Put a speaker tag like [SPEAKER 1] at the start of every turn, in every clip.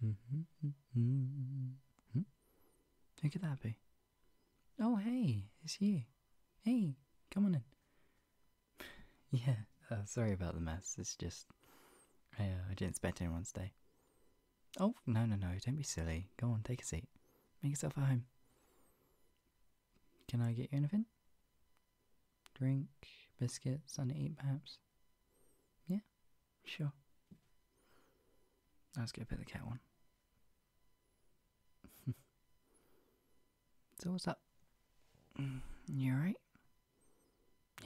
[SPEAKER 1] Who mm-hmm. could that be? Oh, hey, it's you. Hey, come on in. yeah, uh, sorry about the mess. It's just, I, uh, didn't expect anyone to stay. Oh, no, no, no, don't be silly. Go on, take a seat. Make yourself at home. Can I get you anything? Drink, biscuits, and to eat, perhaps? Yeah, Sure. Let's go pick the cat one. so what's up? Mm, you alright?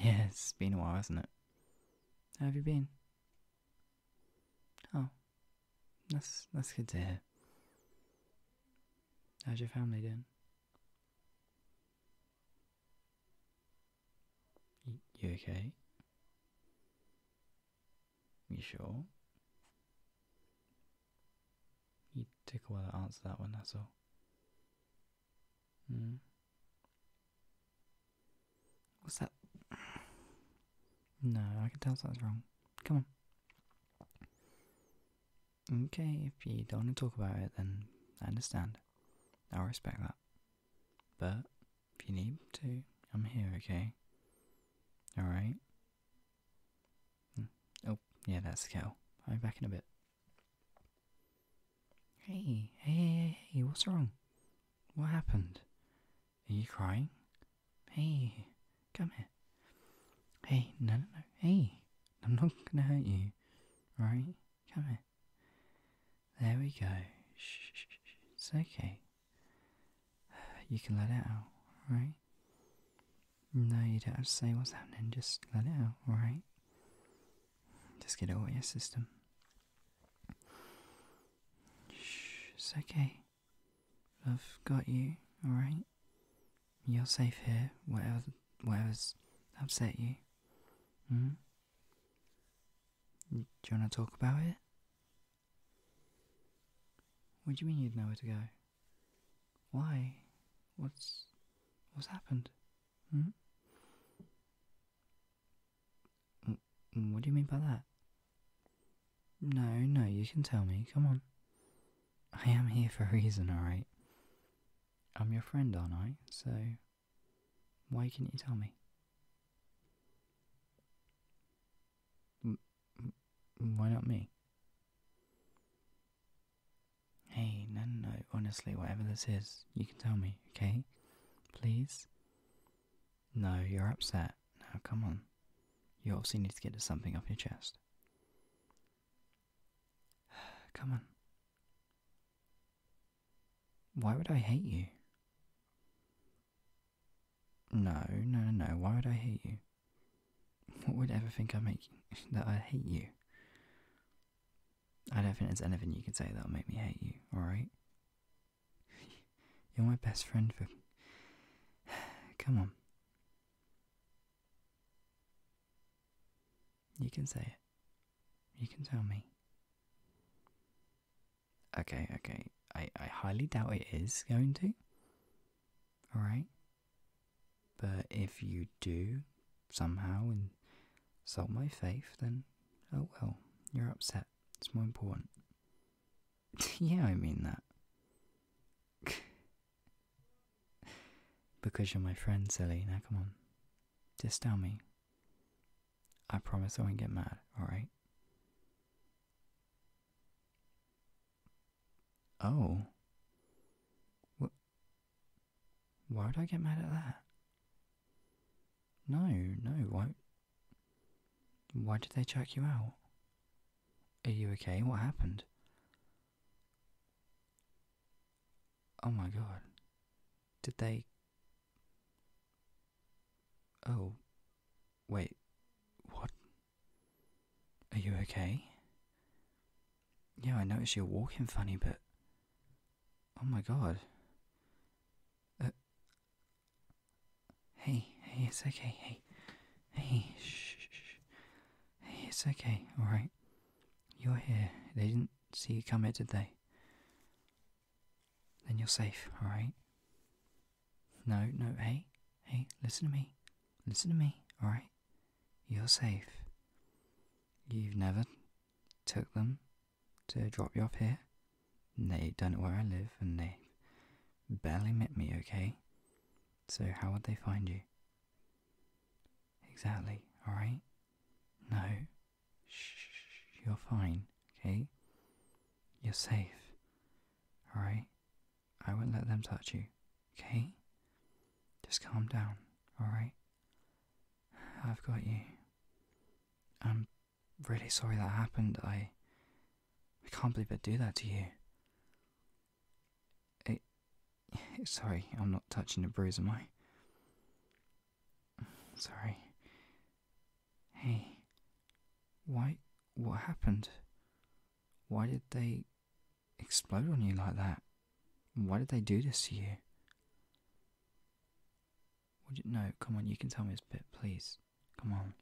[SPEAKER 1] Yeah, it's been a while, hasn't it? How have you been? Oh. That's that's good to hear. How's your family doing? You okay? You sure? You take a while to answer that one, that's all. Hmm. What's that? No, I can tell something's wrong. Come on. Okay, if you don't want to talk about it, then I understand. I'll respect that. But if you need to, I'm here, okay? Alright? Hmm. Oh, yeah, that's the cow. I'll be back in a bit. Hey, hey, hey, hey, what's wrong? What happened? Are you crying? Hey, come here. Hey, no, no, no, hey, I'm not gonna hurt you, right? Come here there. we go. It's okay. You can let it out, right? No, you don't have to say what's happening. Just let it out, alright? Just get it out of your system. it's okay. I've got you, alright? You're safe here, whatever, whatever's upset you. Hmm? Do you want to talk about it? What do you mean you'd know where to go? Why? What's what's happened? Hmm? What do you mean by that? No, no, you can tell me. Come on. I am here for a reason, alright? I'm your friend, aren't I? So why can not you tell me? Why not me? Hey, no, no, no, honestly, whatever this is, you can tell me, okay? Please? No, you're upset. Now, come on. You obviously need to get something off your chest. come on. Why would I hate you? No, no, no. Why would I hate you? What would ever think I make that I hate you? I don't think there's anything you can say that'll make me hate you. All right? You're my best friend. For come on, you can say it. You can tell me. Okay, okay. I, I highly doubt it is going to. Alright? But if you do somehow insult my faith, then oh well, you're upset. It's more important. yeah, I mean that. because you're my friend, silly. Now come on. Just tell me. I promise I won't get mad, alright? Oh. What? Why would I get mad at that? No, no, why? Why did they check you out? Are you okay? What happened? Oh my god. Did they Oh, wait, what? Are you okay? Yeah, I noticed you're walking funny, but. Oh my god. Uh, hey, hey, it's okay, hey. Hey, shh, Hey, it's okay, alright. You're here. They didn't see you come in, did they? then you're safe, alright? No, no, hey, hey, listen to me. Listen to me, alright? You're safe. You've never took them to drop you off here. They don't know where I live and they barely met me, okay? So how would they find you? Exactly, alright? No, Shh, you're fine, okay? You're safe, alright? I won't let them touch you, okay? Just calm down, alright? I've got you. I'm really sorry that happened. I. I can't believe I'd do that to you. It. Sorry, I'm not touching the bruise, am I? Sorry. Hey. Why. What happened? Why did they explode on you like that? Why did they do this to you? Would you, no, come on, you can tell me this bit, please. Come on.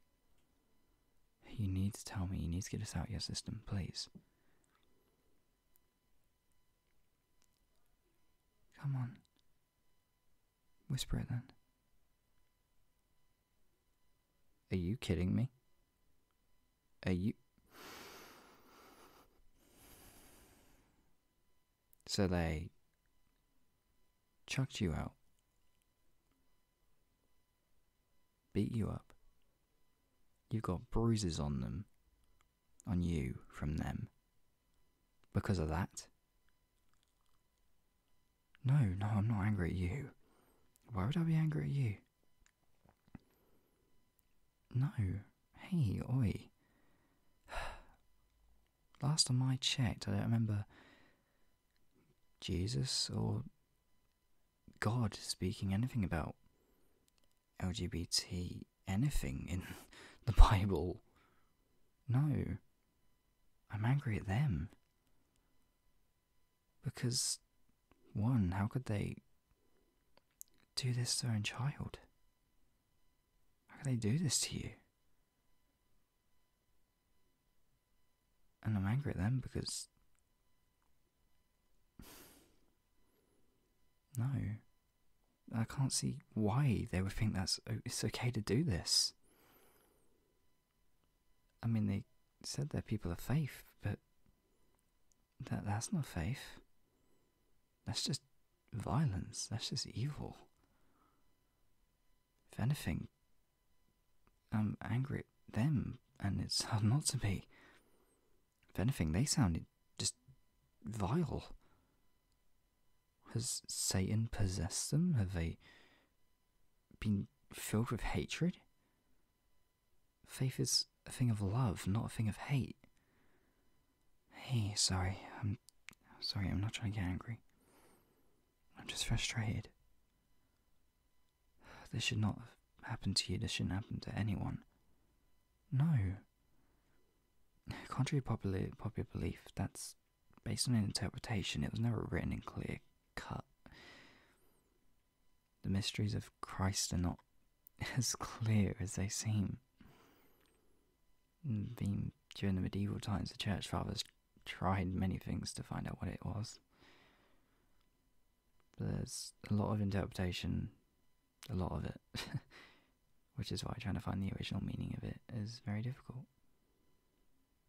[SPEAKER 1] You need to tell me, you need to get us out of your system, please. Come on. Whisper it then. Are you kidding me? Are you. So they chucked you out, beat you up. You've got bruises on them, on you from them, because of that? No, no, I'm not angry at you. Why would I be angry at you? No. Hey, oi. Last time I checked, I don't remember Jesus or God speaking anything about LGBT anything in the Bible. No. I'm angry at them. Because, one, how could they do this to their own child? How could they do this to you? And I'm angry at them because. no. I can't see why they would think that's it's okay to do this. I mean, they said that people of faith, but that that's not faith. That's just violence. That's just evil. If anything, I'm angry at them, and it's hard not to be. If anything, they sounded just vile. Has Satan possessed them? Have they been filled with hatred? Faith is a thing of love, not a thing of hate. Hey, sorry. I'm sorry, I'm not trying to get angry. I'm just frustrated. This should not have happened to you. This shouldn't happen to anyone. No. Contrary to popular, popular belief, that's based on an interpretation, it was never written in clear cut. The mysteries of Christ are not as clear as they seem. Mm, during the medieval times, the church fathers tried many things to find out what it was. But there's a lot of interpretation, a lot of it, which is why trying to find the original meaning of it is very difficult.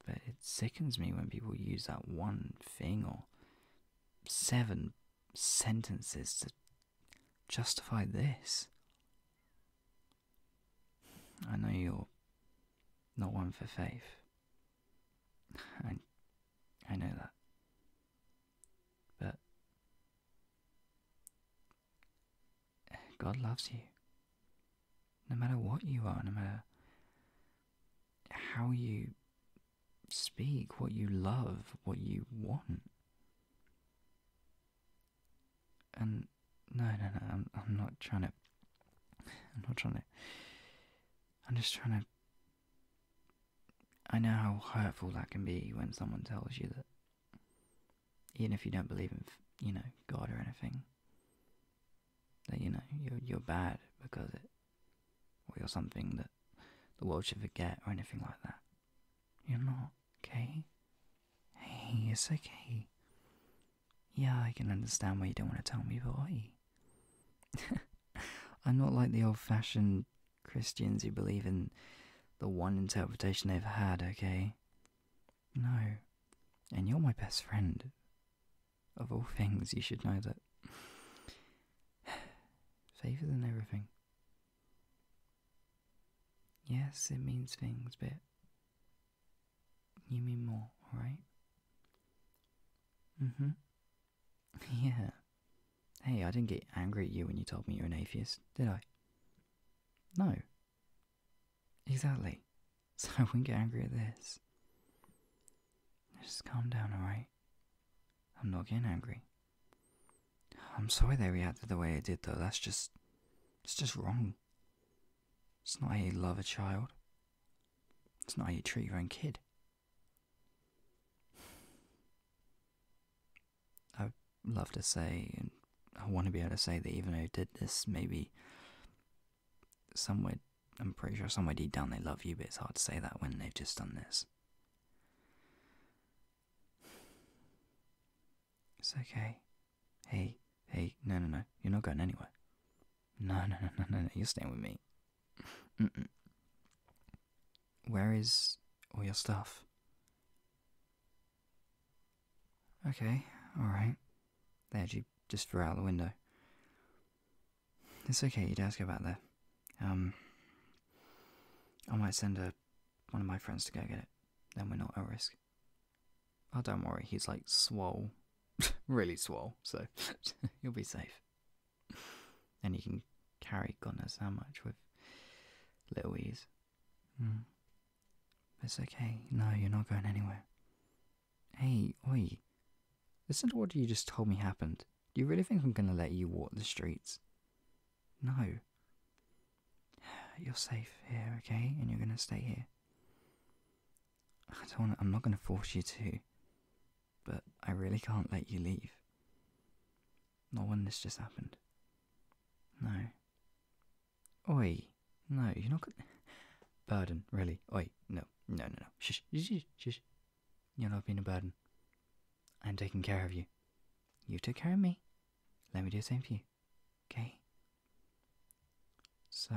[SPEAKER 1] But it sickens me when people use that one thing or seven sentences to justify this. I know you're not one for faith. I, I know that. But God loves you. No matter what you are, no matter how you speak, what you love, what you want. And no, no, no, I'm, not trying to. I'm not trying to. I'm just trying to. I know how hurtful that can be when someone tells you that, even if you don't believe in, you know, God or anything, that you know you're you're bad because it, or you're something that the world should forget or anything like that. You're not okay. it's okay. Yeah, I can understand why you don't want to tell me, but I'm not like the old-fashioned Christians who believe in the one interpretation they've had. Okay. No, and you're my best friend, of all things, you should know that. Favour than everything. Yes, it means things, but you mean more, right? Mm hmm. Yeah. Hey, I didn't get angry at you when you told me you're an atheist, did I? No, Exactly. So I wouldn't get angry at this. Just calm down, alright? I'm not getting angry. I'm sorry they reacted the way they did, though. That's just. It's just wrong. It's not how you love a child, it's not how you treat your own kid. I would love to say, and I want to be able to say that even though I did this, maybe somewhere, I'm pretty sure somewhere deep down they love you, but it's hard to say that when they've just done this. It's okay. Hey, hey, no, no, no, you're not going anywhere. No, no, no, no, no, no, you're staying with me. is all your stuff? Okay, alright. They actually just threw out the window. It's okay, you'd ask about that. Um, I might send a, one of my friends to go get it. Then we're not at risk. Oh, don't worry, he's like swole. really swole, so you'll be safe. And you can carry Gunner's knows how much with little ease. Hmm. It's okay. No, you're not going anywhere. Hey, oi. Listen to what you just told me happened. Do you really think I'm gonna let you walk the streets? No. You're safe here, okay? And you're gonna stay here. I don't wanna, I'm not i am not going to force you to. But I really can't let you leave. Not when this just happened. No. Oi. No, you're not gonna. Burden, really. Wait, no, no, no, no. Shush, shush, shush. You're not being a burden. I'm taking care of you. You took care of me. Let me do the same for you. Okay? So,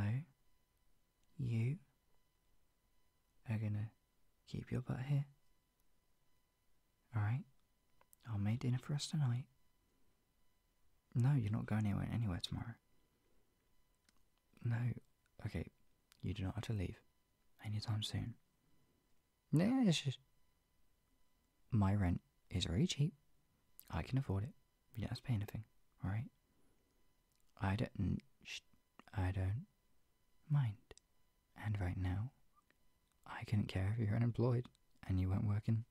[SPEAKER 1] you are gonna keep your butt here. Alright? I'll make dinner for us tonight. No, you're not going anywhere, anywhere tomorrow. No, okay, you do not have to leave anytime soon. Yeah, it's just my rent is very cheap. I can afford it. You don't have to pay anything, alright? I don't. I don't mind. And right now, I couldn't care if you're unemployed and you weren't working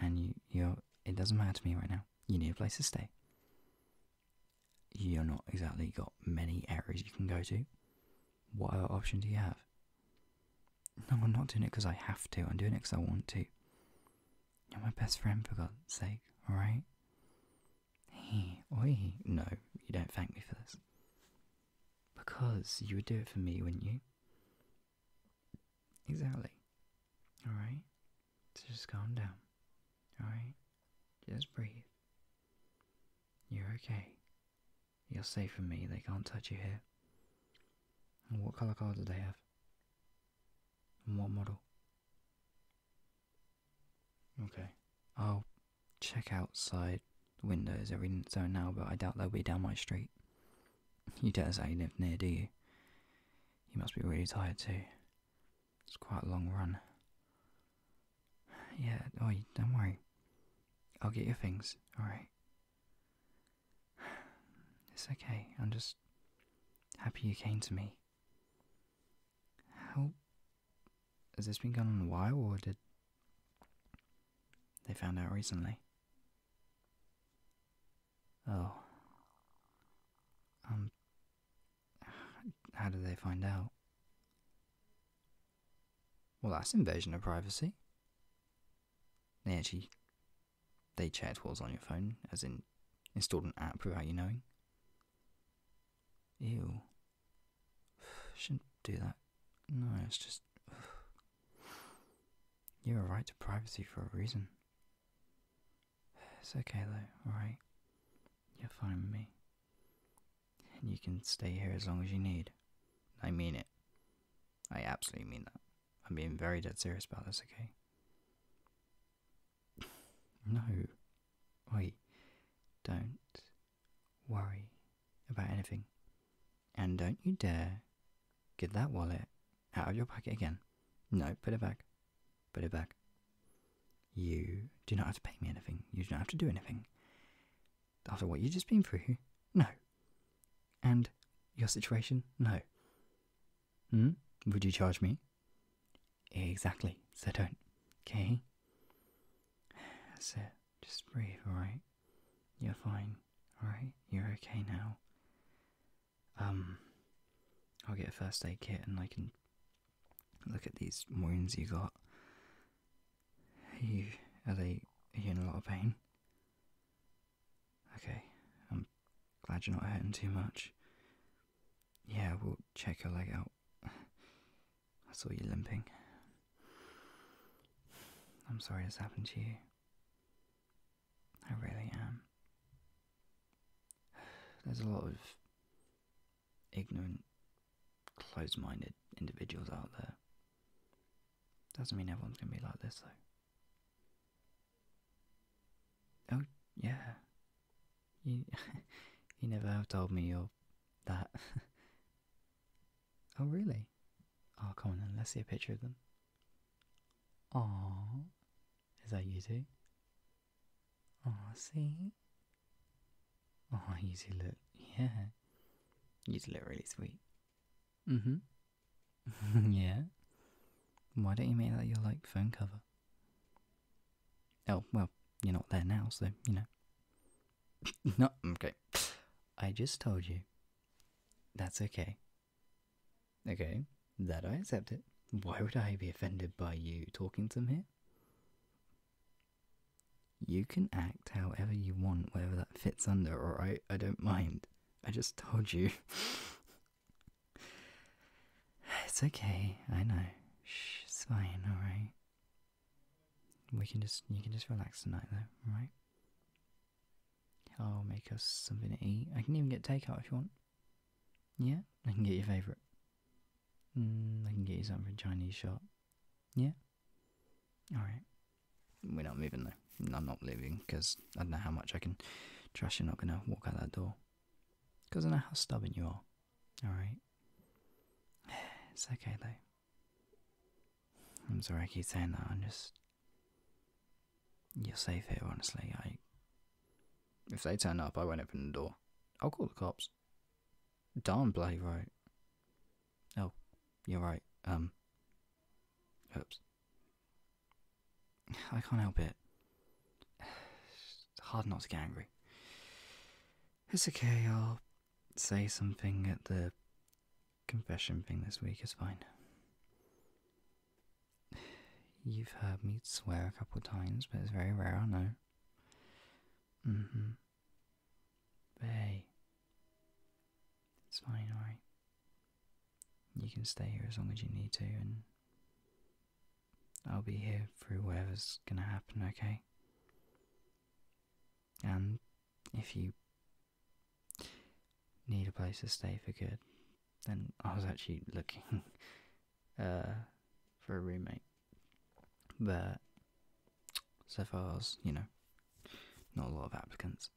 [SPEAKER 1] and you you're it doesn't matter to me right now. You need a place to stay. You're not exactly got many areas you can go to. What other option do you have? No, I'm not doing it because I have to. I'm doing it because I want to. You're my best friend, for God's sake, alright? Hey, oi. No, you don't thank me for this. Because you would do it for me, wouldn't you? Exactly. Alright? So just calm down. Alright? Just breathe. You're okay. You're safe from me. They can't touch you here. And what colour car do they have? And what model? Okay. I'll check outside the windows in every so now, but I doubt they'll be down my street. You don't say you live near, do you? You must be really tired too. It's quite a long run. Yeah, oh, don't worry. I'll get your things, alright? It's okay, I'm just happy you came to me. How. Has this been going on a while, or did. They found out recently? Oh. Um. How did they find out? Well, that's invasion of privacy. They actually. They checked what on your phone, as in installed an app without you knowing. Ew. Shouldn't do that. No, it's just. You have a right to privacy for a reason. It's okay though, alright? You're fine with me. And you can stay here as long as you need. I mean it. I absolutely mean that. I'm being very dead serious about this, okay? no. Wait. Don't worry about anything. And don't you dare get that wallet out of your pocket again. No, put it back. Put it back. You do not have to pay me anything. You do not have to do anything. After what you've just been through, no. And your situation, no. Hmm? Would you charge me? Exactly. So don't. Okay? That's it. Just breathe, alright? You're fine, alright? You're okay now. Um, I'll get a first aid kit and I can look at these wounds you got. Are you, are they, are you in a lot of pain? Okay, I'm glad you're not hurting too much. Yeah, we'll check your leg out. I saw you limping. I'm sorry this happened to you. I really am. There's a lot of ignorant, closed minded individuals out there. Doesn't mean everyone's going to be like this, though. Oh, yeah. You, you never have told me you're that. oh, really? Oh, come on let's see a picture of them. Aww. Is that you two? Aw, see? Oh, you two look, yeah. You two look really sweet. Mm hmm. yeah. Why don't you make that your, like, phone cover? Oh, well, you're not there now, so, you know. no, okay. I just told you. That's okay. Okay, that I accept it. Why would I be offended by you talking to me? You can act however you want, whether that fits under, or I, I don't mind. I just told you. it's okay, I know. Shh, it's fine, alright. We can just, you can just relax tonight though, alright? I'll make us something to eat. I can even get takeout if you want. Yeah, I can get your favourite. Mm, I can get you something from Chinese shop. Yeah? Alright. We're not moving though. I'm not moving because I don't know how much I can trust you're not going to walk out that door. Because I know how stubborn you are. Alright? It's okay though. I'm sorry I keep saying that. I'm just. You're safe here, honestly. I. If they turn up, I won't open the door. I'll call the cops. Darn bloody right. Oh, you're right. Um. Oops. I can't help it. It's hard not to get angry. It's okay, I'll say something at the confession thing this week, it's fine. You've heard me swear a couple times, but it's very rare, I know. Mm-hmm. But hey, it's fine, alright? You can stay here as long as you need to, and I'll be here through whatever's gonna happen, okay? And if you need a place to stay for good, then I was actually looking uh, for a roommate. But so far as you know, not a lot of applicants.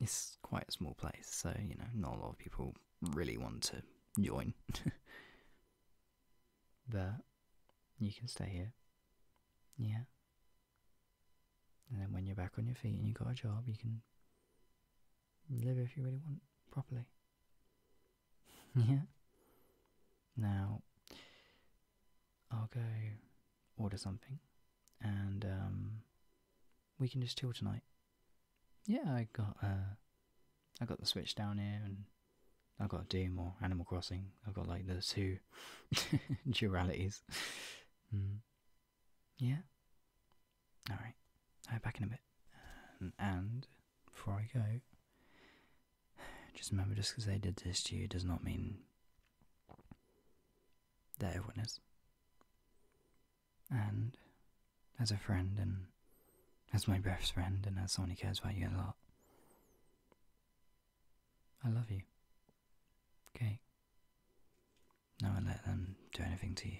[SPEAKER 1] It's quite a small place, so you know, not a lot of people really want to join. but you can stay here. Yeah. And then when you're back on your feet and you got a job, you can Live if you really want, properly. Hmm. yeah? Now, I'll go order something and um, we can just chill tonight. Yeah, I got uh, I got the Switch down here and I've got Doom or Animal Crossing. I've got like the two dualities. Hmm. Yeah? Alright. right. All right, back in a bit. and before I go. Just remember, just because they did this to you does not mean they're a witness. And as a friend, and as my best friend, and as someone who cares about you a lot, I love you. Okay? No one let them do anything to you.